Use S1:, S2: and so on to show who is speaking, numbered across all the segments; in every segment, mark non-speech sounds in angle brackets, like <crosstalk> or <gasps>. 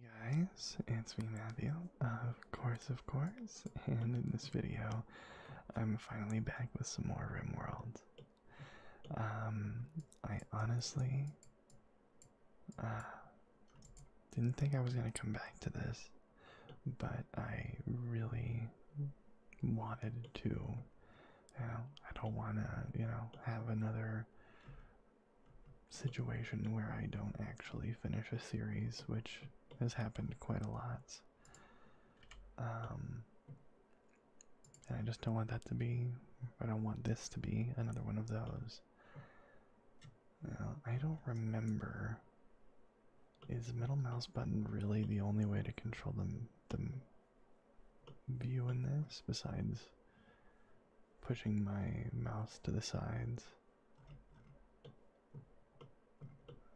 S1: Hey guys, it's me Matthew, of course, of course, and in this video, I'm finally back with some more RimWorld. Um, I honestly, uh, didn't think I was gonna come back to this, but I really wanted to, you know, I don't wanna, you know, have another situation where I don't actually finish a series, which has happened quite a lot. Um, and I just don't want that to be, I don't want this to be another one of those. I don't remember. Is middle mouse button really the only way to control the, the view in this besides pushing my mouse to the sides.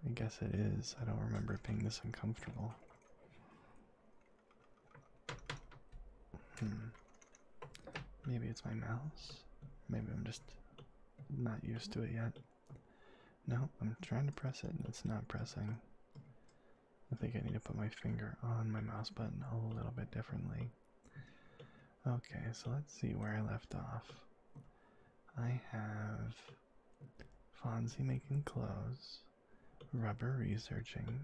S1: I guess it is. I don't remember it being this uncomfortable. Hmm. Maybe it's my mouse. Maybe I'm just not used to it yet. No, I'm trying to press it and it's not pressing. I think I need to put my finger on my mouse button a little bit differently. Okay, so let's see where I left off. I have Fonzie making clothes, Rubber researching,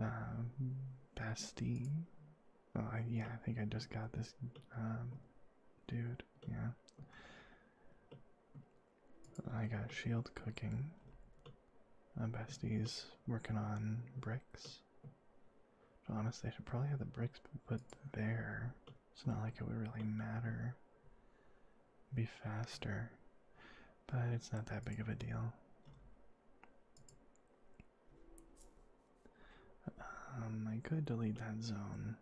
S1: uh, um, Basti. Oh, yeah, I think I just got this um, dude. Yeah. I got shield cooking. Uh, Bestie's working on bricks honestly, I should probably have the bricks put there. It's not like it would really matter. be faster. But it's not that big of a deal. Um, I could delete that zone.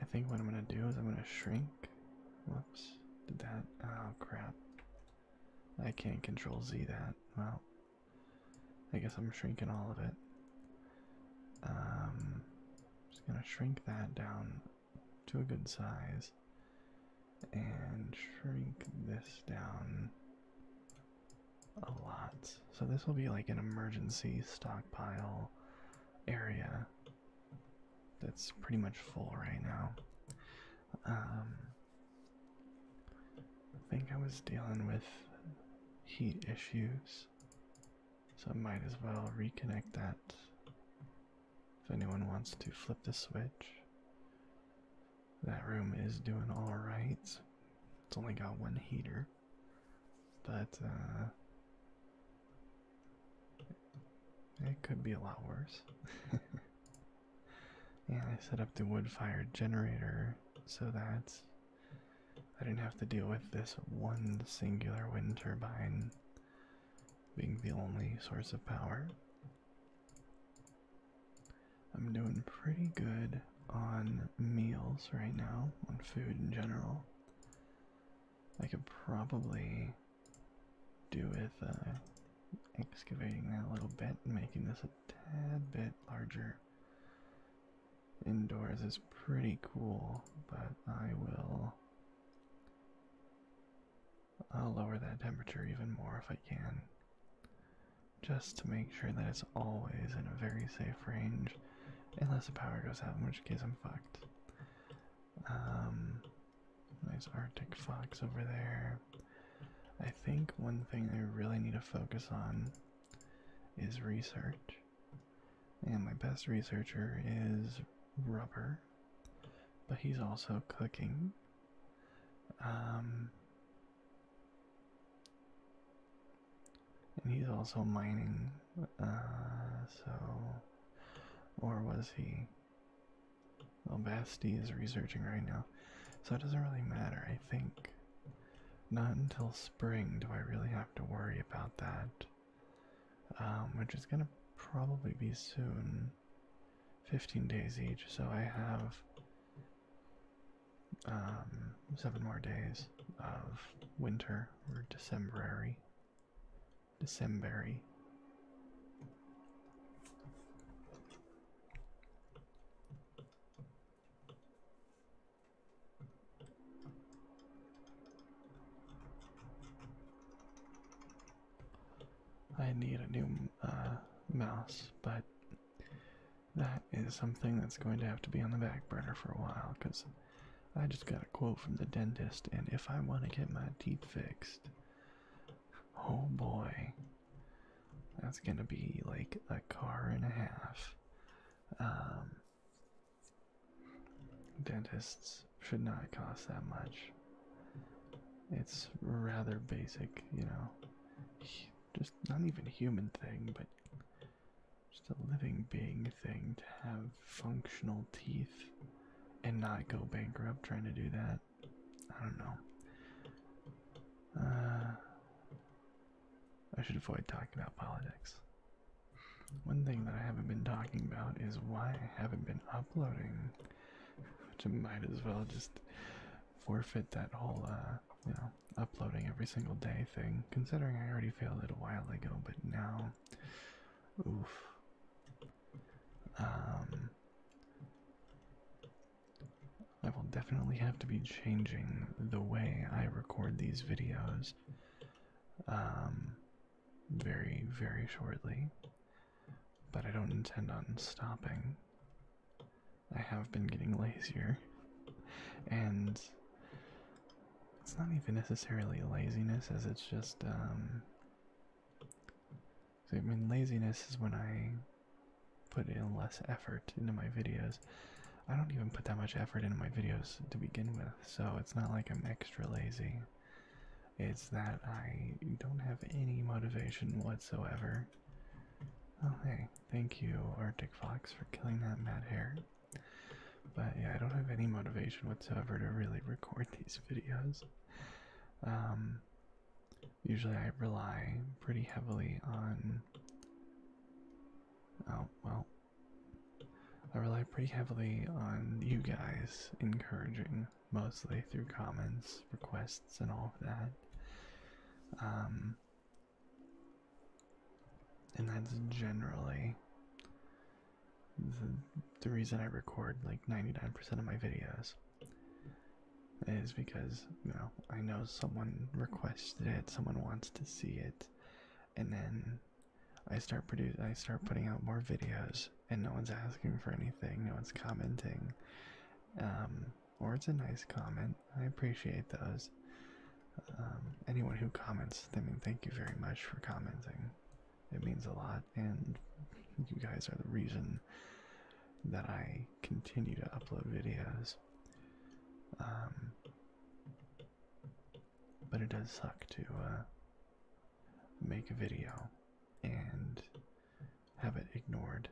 S1: I think what I'm gonna do is I'm gonna shrink. Whoops, did that. Oh crap. I can't control Z that. Well, I guess I'm shrinking all of it. Um, just gonna shrink that down to a good size and shrink this down a lot. So this will be like an emergency stockpile area that's pretty much full right now. Um, I think I was dealing with heat issues, so I might as well reconnect that if anyone wants to flip the switch. That room is doing alright. It's only got one heater. But uh, it could be a lot worse. <laughs> Yeah, I set up the wood-fired generator so that I didn't have to deal with this one singular wind turbine being the only source of power. I'm doing pretty good on meals right now, on food in general. I could probably do with uh, excavating that a little bit and making this a tad bit larger. Indoors is pretty cool, but I will. I'll lower that temperature even more if I can. Just to make sure that it's always in a very safe range, unless the power goes out, in which case I'm fucked. Um, nice Arctic fox over there. I think one thing I really need to focus on is research. And my best researcher is Rubber, but he's also cooking. Um, and he's also mining. Uh, so, or was he? Well, oh, Basti is researching right now, so it doesn't really matter. I think not until spring do I really have to worry about that, um, which is gonna probably be soon. 15 days each, so I have um, seven more days of winter or Decemberary December. I need a new uh, mouse, but that is something that's going to have to be on the back burner for a while because I just got a quote from the dentist, and if I want to get my teeth fixed, oh boy, that's gonna be like a car and a half. Um, dentists should not cost that much. It's rather basic, you know. Just not even a human thing, but just a living being thing to have functional teeth and not go bankrupt trying to do that. I don't know. Uh, I should avoid talking about politics. One thing that I haven't been talking about is why I haven't been uploading, which I might as well just forfeit that whole, uh, you know, uploading every single day thing, considering I already failed it a while ago, but now Oof. Um, I will definitely have to be changing the way I record these videos um, very, very shortly. But I don't intend on stopping. I have been getting lazier. And it's not even necessarily laziness as it's just um, I mean laziness is when I put in less effort into my videos. I don't even put that much effort into my videos to begin with, so it's not like I'm extra lazy. It's that I don't have any motivation whatsoever. Okay, oh, thank you, Arctic Fox, for killing that mad hare. But yeah, I don't have any motivation whatsoever to really record these <laughs> videos. Um, usually I rely pretty heavily on. Oh, well. I rely pretty heavily on you guys encouraging, mostly through comments, requests, and all of that. Um, and that's generally the, reason I record like 99% of my videos is because you know I know someone requested it, someone wants to see it, and then I start producing, I start putting out more videos, and no one's asking for anything, no one's commenting, um, or it's a nice comment. I appreciate those, um, anyone who comments, I mean, thank you very much for commenting. It means a lot, and you guys are the reason that I continue to upload videos. Um, but it does suck to uh, make a video and have it ignored.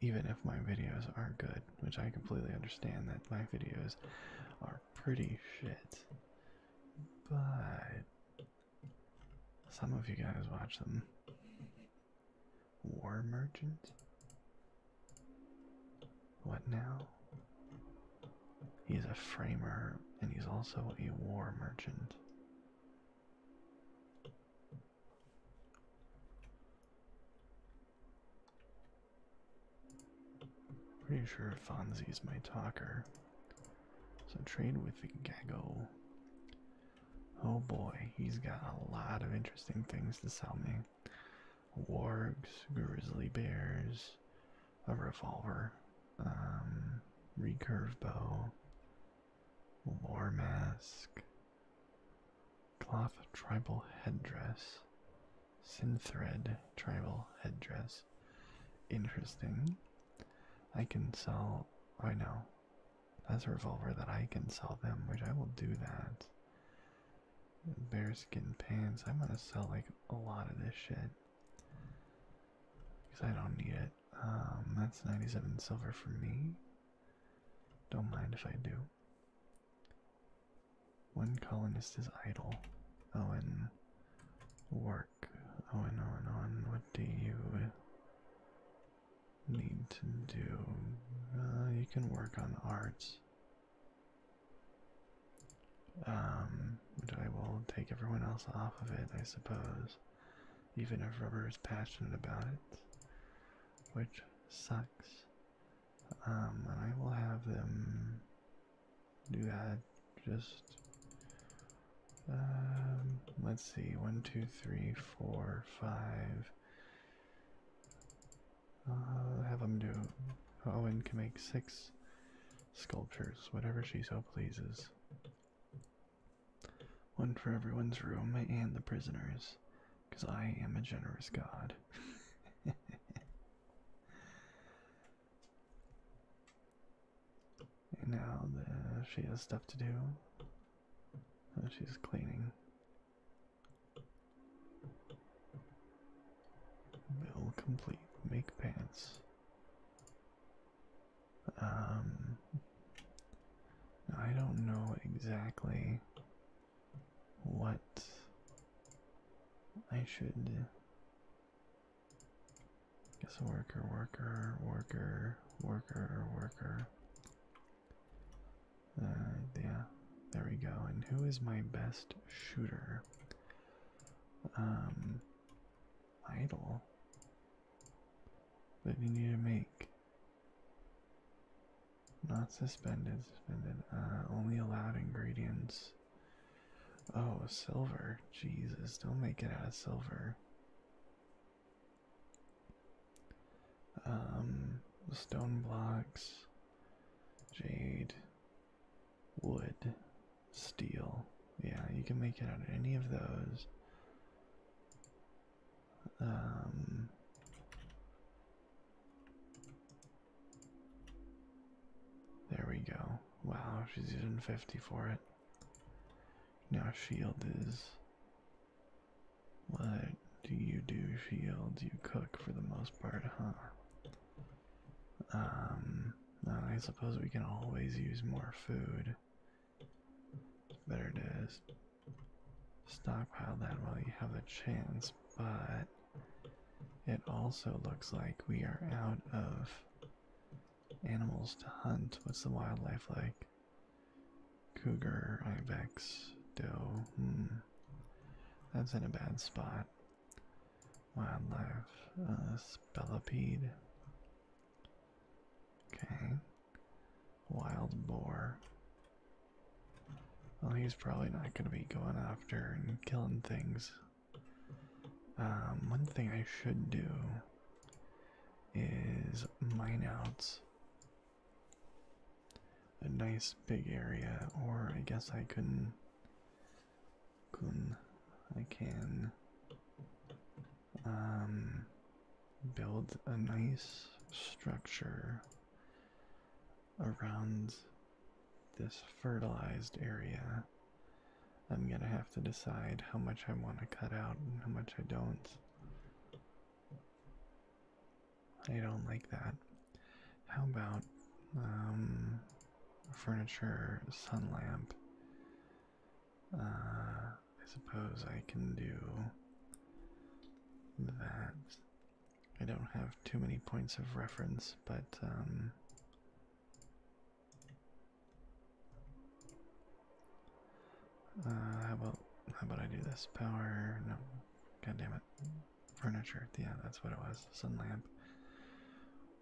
S1: Even if my videos are good, which I completely understand that my videos are pretty shit, but some of you guys watch them. War Merchant? What now? He's a framer and he's also a war merchant. Pretty sure Fonzie's my talker. So trade with the Gago. Oh boy, he's got a lot of interesting things to sell me. Wargs, grizzly bears, a revolver, um, recurve bow, war mask, cloth tribal headdress, Synthread tribal headdress. Interesting. I can sell. I know. That's a revolver that I can sell them, which I will do that. Bearskin pants. I'm gonna sell like a lot of this shit. Because I don't need it. Um, that's 97 silver for me. Don't mind if I do. One colonist is idle. Owen, work. Owen, Owen, Owen, what do you need to do? Uh, you can work on arts. Um, which I will take everyone else off of it, I suppose. Even if Rubber is passionate about it. Which sucks. Um, I will have them do had just um, let's see one two three four five uh, have them do Owen can make six sculptures whatever she so pleases one for everyone's room and the prisoners because I am a generous god <laughs> And now she has stuff to do. she's cleaning. Bill complete. Make pants. Um, I don't know exactly what I should do. Guess a worker, worker, worker, worker, worker. Uh, yeah, there we go. And who is my best shooter? Um, idle. That we need to make. Not suspended, suspended. Uh, only allowed ingredients. Oh, silver. Jesus, don't make it out of silver. Um, stone blocks, jade, wood, steel. Yeah, you can make it out of any of those. Um, there we go. Wow, she's using 50 for it. Now, shield is. What do you do, shield? You cook for the most part, huh? Um, I suppose we can always use more food. better to stockpile that while you have the chance, but it also looks like we are out of animals to hunt. What's the wildlife like? Cougar, ibex, doe. Hmm. That's in a bad spot. Wildlife, uh, spellipede. Okay. Wild boar. Well, he's probably not going to be going after and killing things um, one thing I should do is mine out a nice big area, or I guess I can, can I can um, build a nice structure around this fertilized area, I'm gonna have to decide how much I want to cut out and how much I don't. I don't like that. How about um, furniture, sun lamp? Uh, I suppose I can do that. I don't have too many points of reference, but um, uh, how about how about I do this? Power no, god damn it, furniture. Yeah, that's what it was. Sun lamp.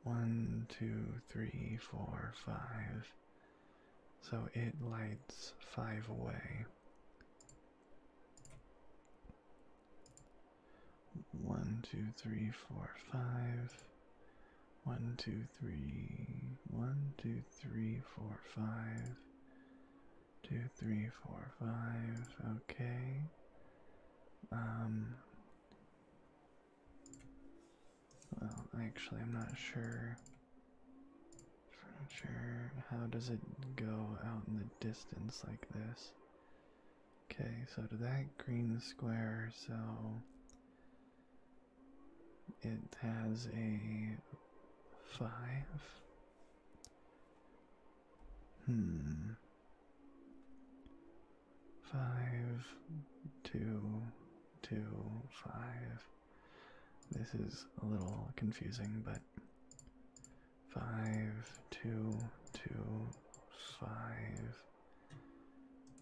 S1: One, two, three, four, five. So it lights five away. One, two, three, four, five. One, two, three. One, two, three, four, five. Two, three, four, five. Okay. Um. Well, actually, I'm not sure. Furniture. How does it go out in the distance like this? Okay, so to that green square, so it has a five. Hmm. Five, two, two, five. This is a little confusing, but five, two, two, five.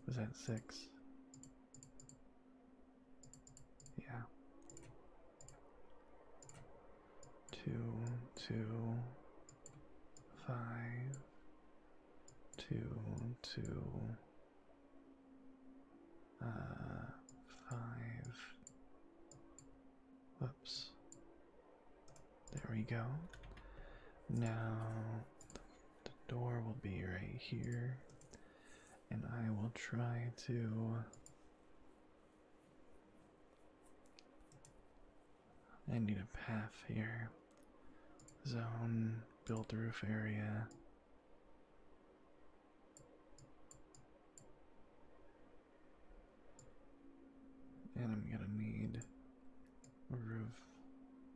S1: Was that six? Yeah. Two, two, five, two, two, uh, five. Whoops. There we go. Now the door will be right here, and I will try to. I need a path here. Zone, built roof area. And I'm going to need a roof,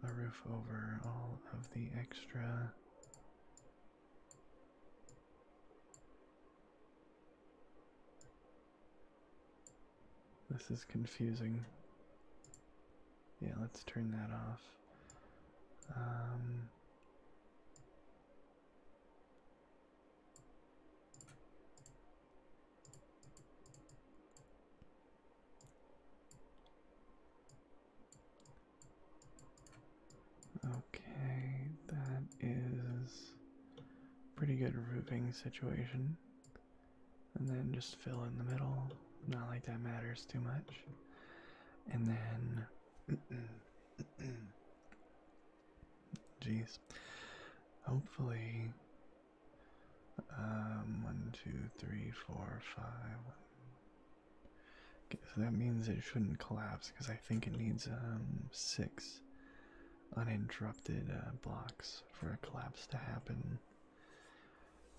S1: a roof over all of the extra This is confusing. Yeah, let's turn that off. Um, Okay, that is pretty good roofing situation. And then just fill in the middle. Not like that matters too much. And then <clears throat> jeez. Hopefully um, one, two, three, four, five. Okay, so that means it shouldn't collapse because I think it needs um six uninterrupted uh, blocks for a collapse to happen.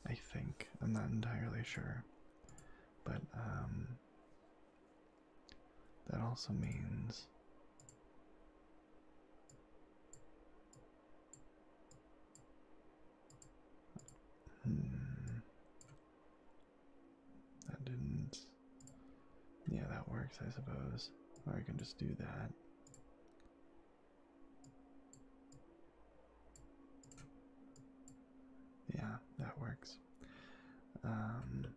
S1: I think I'm not entirely sure, but um, that also means. Hmm. That didn't. Yeah, that works, I suppose. Or I can just do that. Yeah, that works. Um,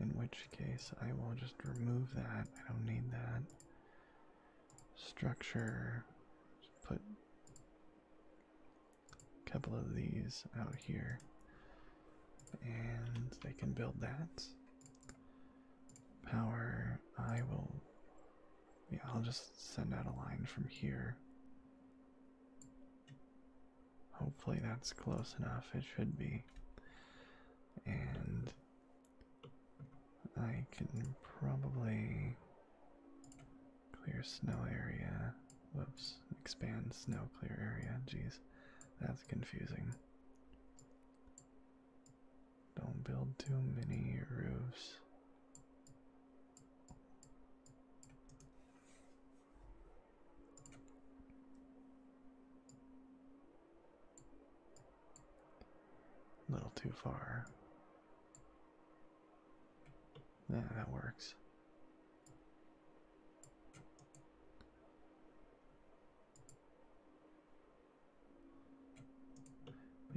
S1: in which case, I will just remove that. I don't need that structure. put a couple of these out here, and they can build that. Power, I will. Yeah, I'll just send out a line from here. Hopefully that's close enough. It should be. And I can probably clear snow area. Whoops, expand snow clear area. Geez, that's confusing. Don't build too many roofs. A little too far. Yeah, that works.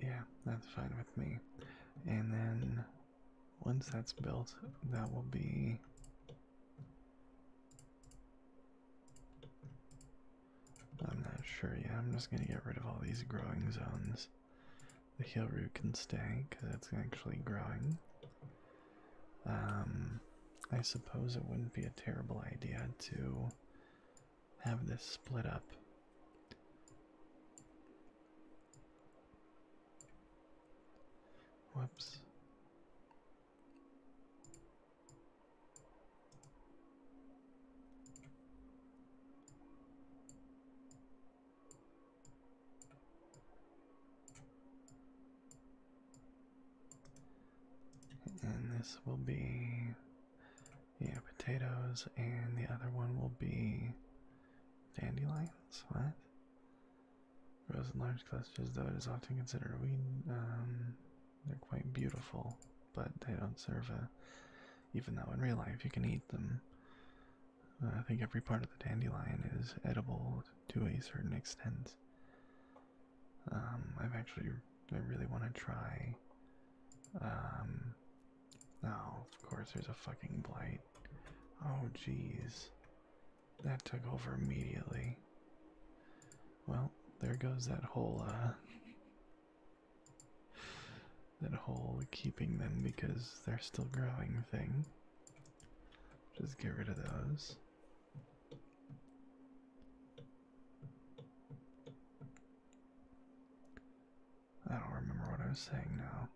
S1: Yeah, that's fine with me. And then once that's built, that will be I'm not sure yet. I'm just gonna get rid of all these growing zones. The heel root can stay because it's actually growing. Um, I suppose it wouldn't be a terrible idea to have this split up. Whoops. And this will be, yeah, potatoes, and the other one will be dandelions. What? Grows in large clusters, though it is often considered a weed. Um, they're quite beautiful, but they don't serve a. Even though in real life you can eat them, uh, I think every part of the dandelion is edible to a certain extent. Um, I've actually, I really want to try. Um, oh, of course, there's a fucking blight. Oh, jeez. That took over immediately. Well, there goes that whole, uh, that whole keeping them because they're still growing thing. Just get rid of those. I don't remember what I was saying now.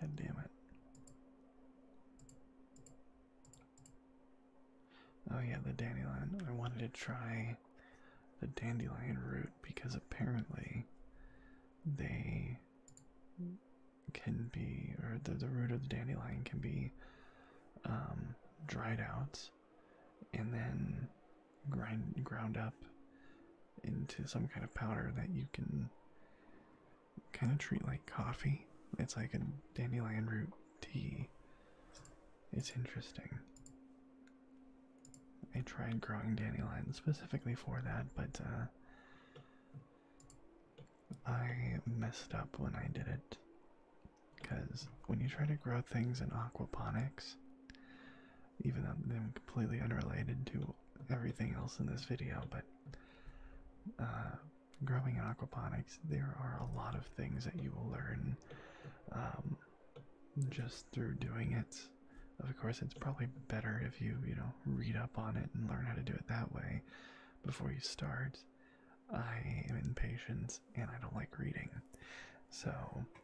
S1: God damn it. Oh yeah, the dandelion. I wanted to try the dandelion root because apparently they can be, or the, the root of the dandelion can be um, dried out and then grind ground up into some kind of powder that you can kind of treat like coffee. It's like a dandelion root tea. It's interesting. I tried growing dandelions specifically for that, but uh, I messed up when I did it. Because when you try to grow things in aquaponics, even though they're completely unrelated to everything else in this video, but uh, growing in aquaponics, there are a lot of things that you will learn um, just through doing it. Of course, it's probably better if you, you know, read up on it and learn how to do it that way before you start. I am impatient and I don't like reading. So,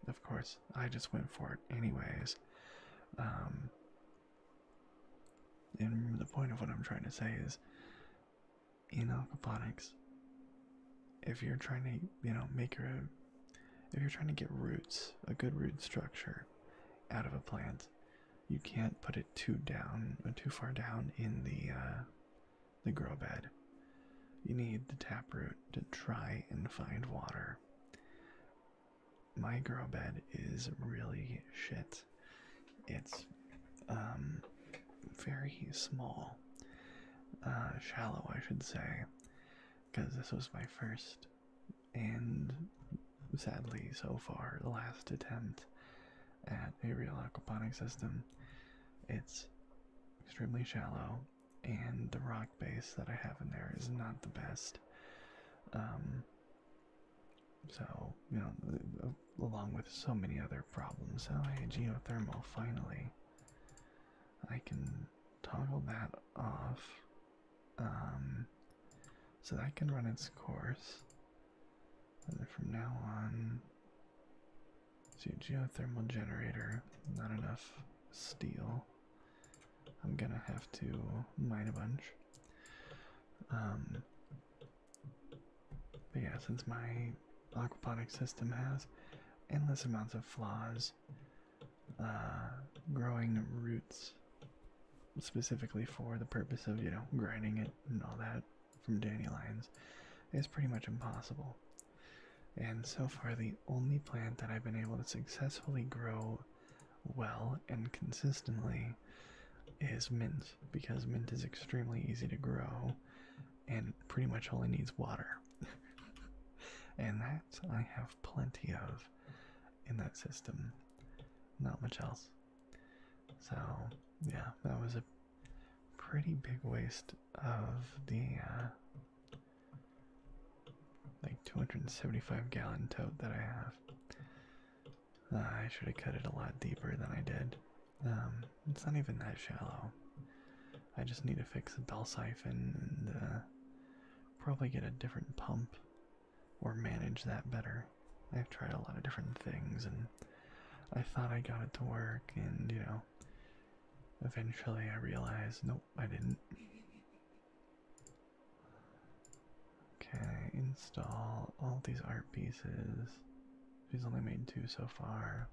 S1: of course, I just went for it anyways. Um, and the point of what I'm trying to say is in aquaponics if you're trying to you know make your own if you're trying to get roots a good root structure out of a plant you can't put it too down too far down in the uh, the grow bed you need the taproot to try and find water my grow bed is really shit it's um, very small, uh, shallow, I should say, because this was my first and sadly so far the last attempt at a real aquaponics system. It's extremely shallow, and the rock base that I have in there is not the best. Um, so, you know, along with so many other problems. Oh, hey, geothermal, finally. I can toggle that off. Um, so that can run its course. And from now on, see, geothermal generator, not enough steel. I'm gonna have to mine a bunch. Um, but yeah, since my aquaponic system has endless amounts of flaws, uh, growing roots specifically for the purpose of, you know, grinding it and all that from dandelions is pretty much impossible. And so far, the only plant that I've been able to successfully grow well and consistently is mint, because mint is extremely easy to grow and pretty much only needs water. <laughs> and that I have plenty of in that system. Not much else. So, yeah, that was a pretty big waste of the uh, like 275 gallon tote that I have. Uh, I should have cut it a lot deeper than I did. Um, it's not even that shallow. I just need to fix the bell siphon and uh, probably get a different pump or manage that better. I've tried a lot of different things and I thought I got it to work, and you know, eventually I realized nope, I didn't. Okay, install all these art pieces. He's only made two so far.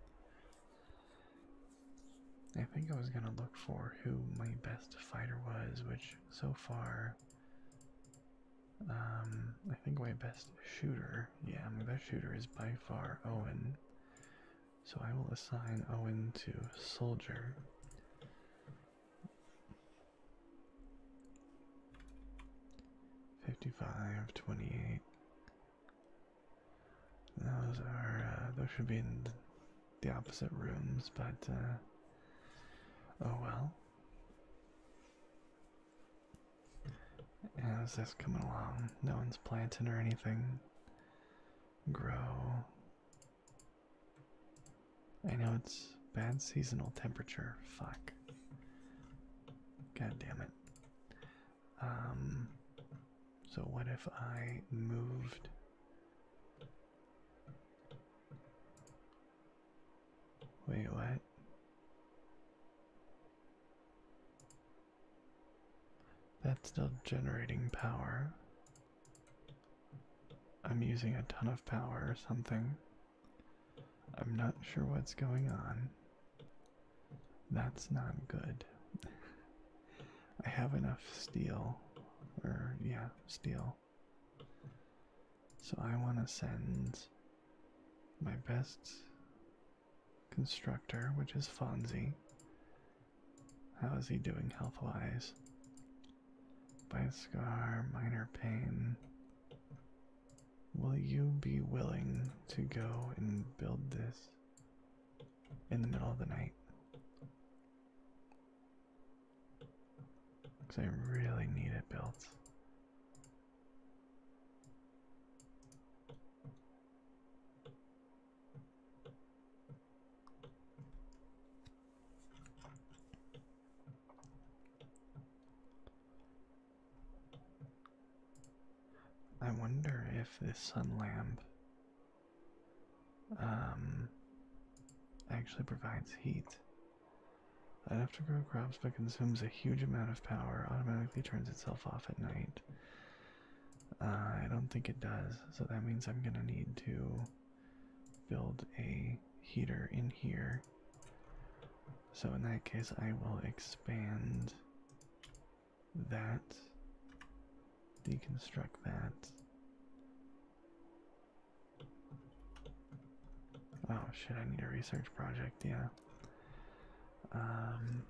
S1: I think I was gonna look for who my best fighter was, which so far, um, I think my best shooter, yeah, my best shooter is by far Owen. So I will assign Owen to soldier. 55, 28. Those are, uh, those should be in the opposite rooms, but, uh, oh well. How's this coming along? No one's planting or anything. Grow. I know it's bad seasonal temperature. Fuck. God damn it. Um, so what if I moved? Wait, what? That's still generating power. I'm using a ton of power or something. I'm not sure what's going on. That's not good. I have enough steel, or yeah, steel. So I want to send my best constructor, which is Fonzie. How is he doing health wise? By scar, minor pain. Will you be willing to go and build this in the middle of the night? Because I really need it built. I wonder if this sun lamp um, actually provides heat. Enough to grow crops but consumes a huge amount of power, automatically turns itself off at night. Uh, I don't think it does, so that means I'm gonna need to build a heater in here so in that case, I will expand that, deconstruct that. Oh shit, I need a research project, yeah. Um,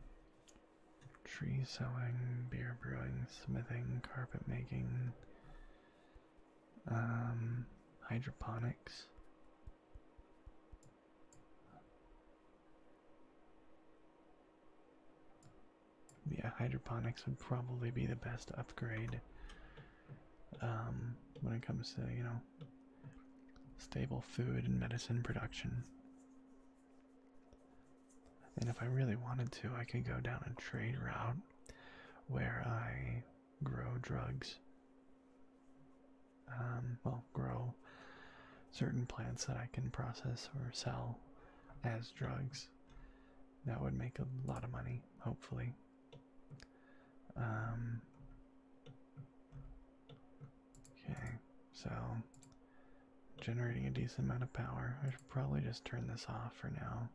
S1: tree sowing, beer brewing, smithing, carpet making, um, hydroponics. Yeah, hydroponics would probably be the best upgrade um, when it comes to, you know, stable food and medicine production. And if I really wanted to, I could go down a trade route where I grow drugs um, well, grow certain plants that I can process or sell as drugs. That would make a lot of money, hopefully. Um, okay, so generating a decent amount of power. I should probably just turn this off for now.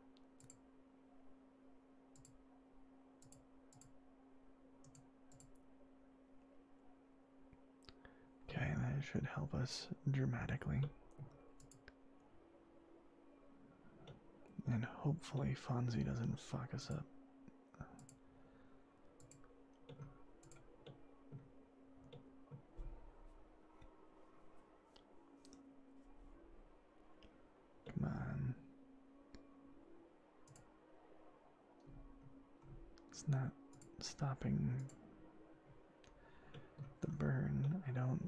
S1: Okay, that should help us dramatically. And hopefully Fonzie doesn't fuck us up. Come on. It's not stopping the burn. I don't.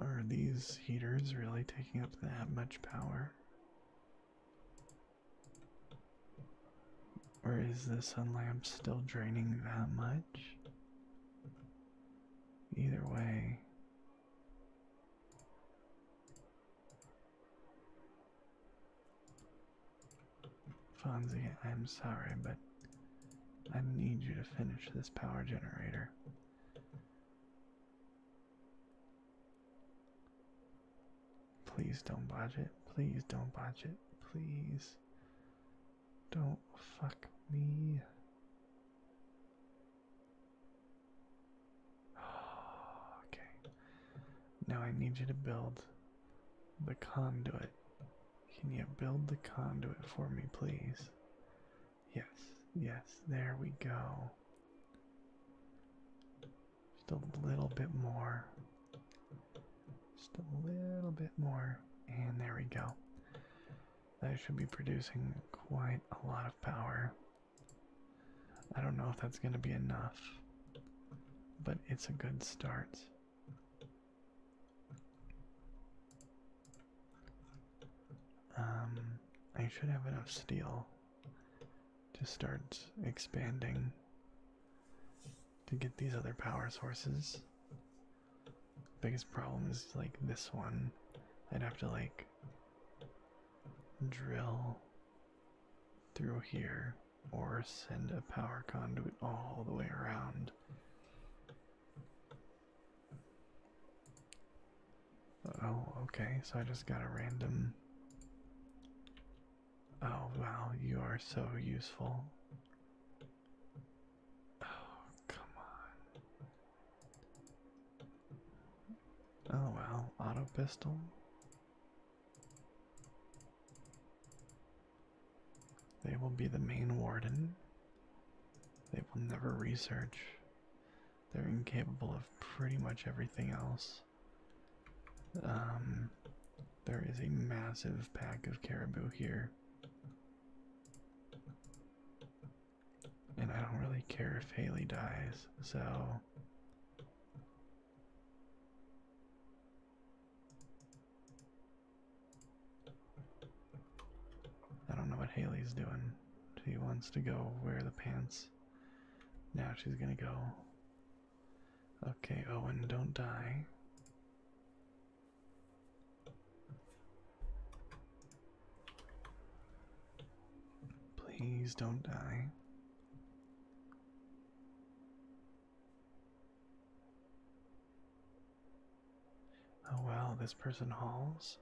S1: Are these heaters really taking up that much power? Or is the sun lamp still draining that much? Either way, Fonzie, I'm sorry, but I need you to finish this power generator. Please don't budge it. Please don't budge it. Please don't fuck me. Ah, okay. Now I need you to build the conduit. Can you build the conduit for me, please? Yes, yes, there we go. Just a little bit more. Just a little bit more. And there we go. That should be producing quite a lot of power. I don't know if that's going to be enough, but it's a good start. Um, I should have enough steel to start expanding to get these other power sources. Biggest problem is like this one. I'd have to like drill through here or send a power conduit all the way around. Oh, okay, so I just got a random. Oh, wow, you are so useful. Oh, come on. Oh well, auto pistol. They will be the main warden. They will never research. They're incapable of pretty much everything else. Um, there is a massive pack of caribou here. And I don't really care if Haley dies, so. I don't know what Haley's doing. She wants to go wear the pants. Now she's gonna go. Okay, Owen, don't die. Please don't die. Oh well, this person hauls.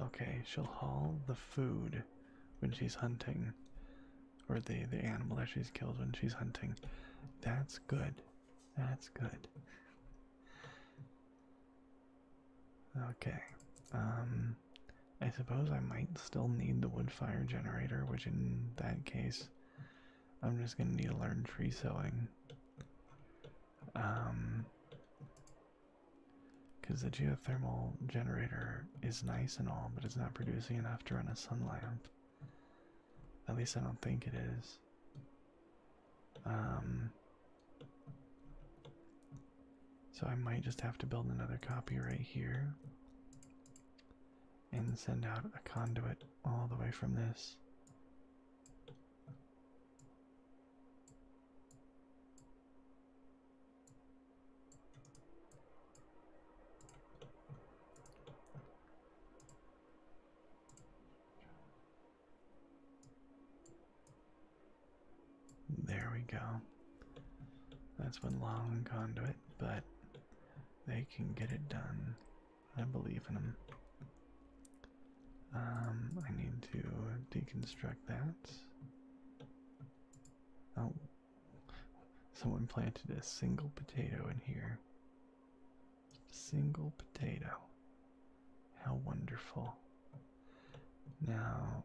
S1: Okay, she'll haul the food when she's hunting, or the the animal that she's killed when she's hunting. That's good. That's good. Okay. Um, I suppose I might still need the wood fire generator, which in that case I'm just gonna need to learn tree sowing. Um because the geothermal generator is nice and all, but it's not producing enough to run a sun lamp. At least I don't think it is. Um so I might just have to build another copy right here and send out a conduit all the way from this. There we go. That's one long conduit, but they can get it done. I believe in them. Um, I need to deconstruct that. Oh, someone planted a single potato in here. a single potato. How wonderful. Now,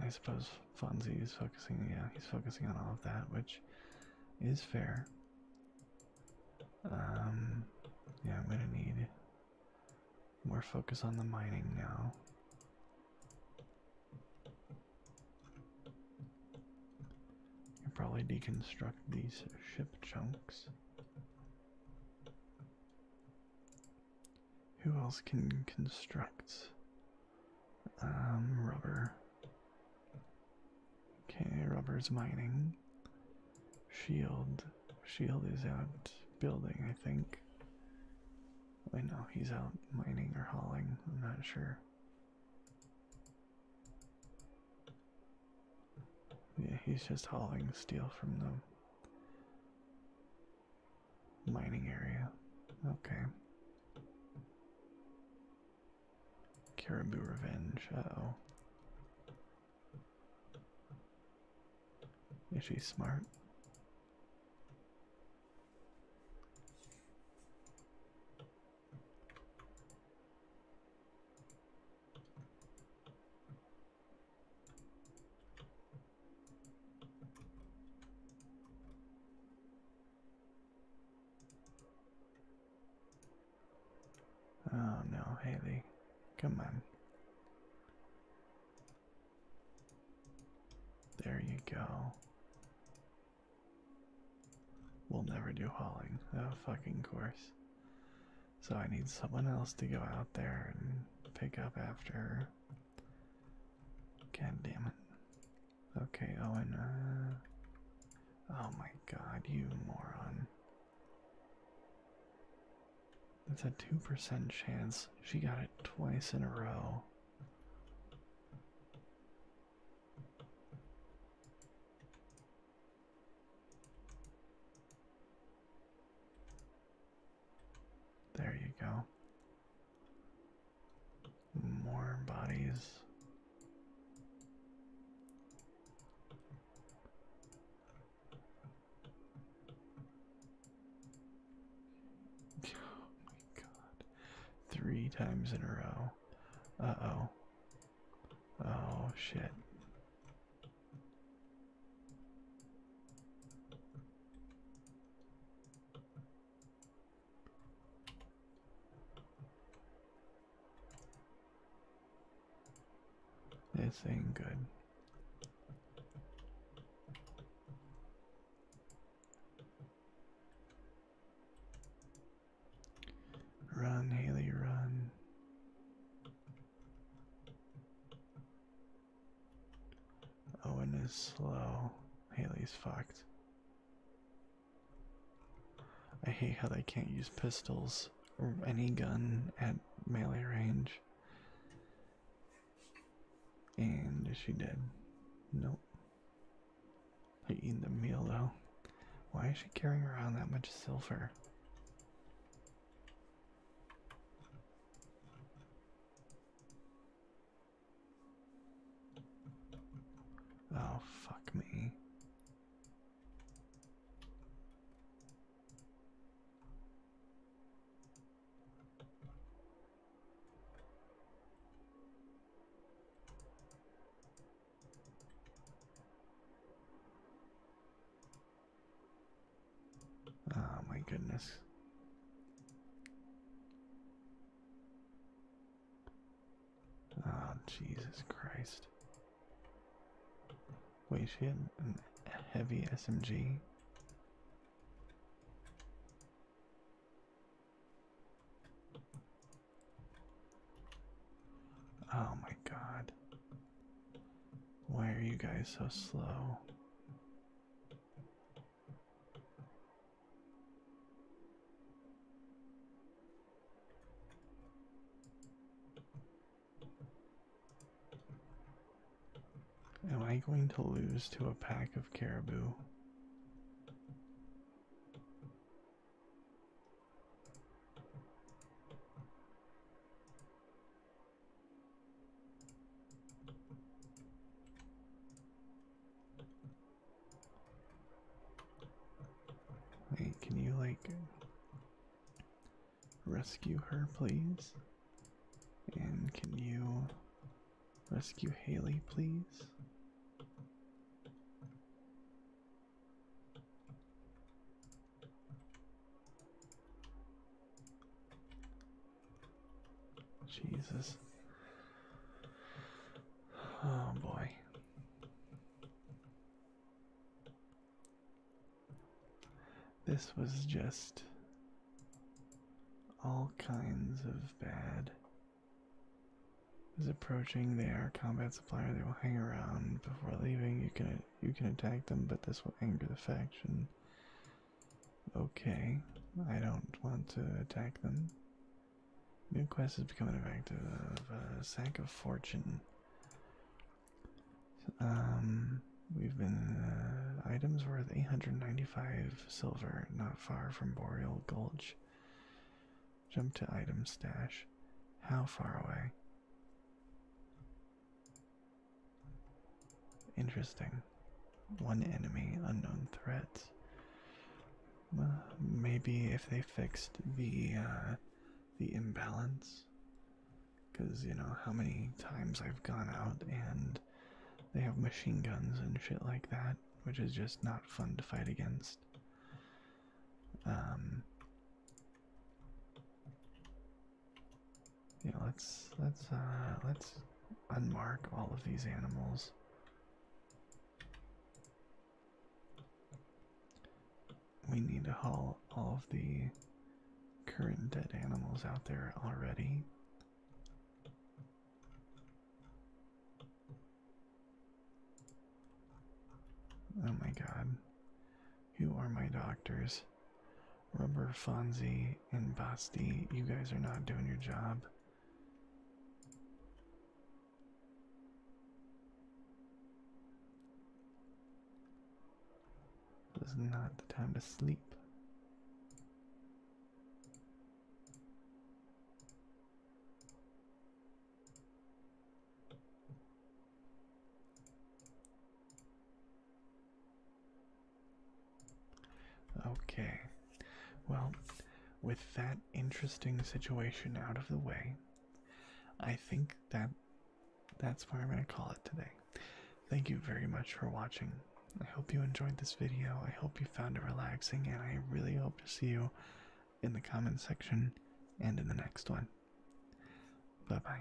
S1: I suppose Funzie is focusing, yeah, he's focusing on all of that, which is fair. Um, yeah, I'm gonna need more focus on the mining now. You probably deconstruct these ship chunks. Who else can construct um, rubber? Okay, rubber's mining. Shield. Shield is out building, I think. I know he's out mining or hauling, I'm not sure. Yeah, he's just hauling steel from them. Mining area. Okay. Caribou Revenge. oh. Is she smart? Oh no, Haley. Come on. There you go. We'll never do hauling. Oh, fucking course. So I need someone else to go out there and pick up after her. God damn it. Okay, Owen. Uh, oh my god, you moron. That's a 2% chance. She got it twice in a row. There you go. More bodies. <gasps> Oh my god. Three times in a row. Uh oh. Oh shit. This ain't good. Run, Haley, run. Owen oh, is slow. Haley's fucked. I hate how they can't use pistols or any gun at melee range. And she did. Nope. they eat the meal though. Why is she carrying around that much silver? Oh, fuck me. Oh my goodness. Oh, Jesus Christ. Wait, she had a heavy SMG? Oh my god. Why are you guys so slow? Am I going to lose to a pack of caribou? Hey, can you like rescue her, please? And can you rescue Haley, please? Jesus. Oh boy. This was just all kinds of bad. Is approaching. They are combat supplier. They will hang around before leaving. You can you can attack them, but this will anger the faction. Okay, I don't want to attack them. New quest has become effective. Uh, sack of fortune. Um, we've been uh, items worth 895 silver, not far from Boreal Gulch. Jump to item stash. How far away? Interesting. One enemy, unknown threat. maybe if they fixed the uh, the imbalance, because you know how many times I've gone out and they have machine guns and shit like that, which is just not fun to fight against. Um, yeah, let's let's uh let's unmark all of these animals. We need to haul all of the current dead animals out there already. Oh my god. Who are my doctors? Rubber Fonzie and Basti, you guys are not doing your job. It is not the time to sleep. Okay. Well, with that interesting situation out of the way, I think that that's where I'm going to call it today. Thank you very much for watching. I hope you enjoyed this video. I hope you found it relaxing, and I really hope to see you in the comment section and in the next one. Bye bye.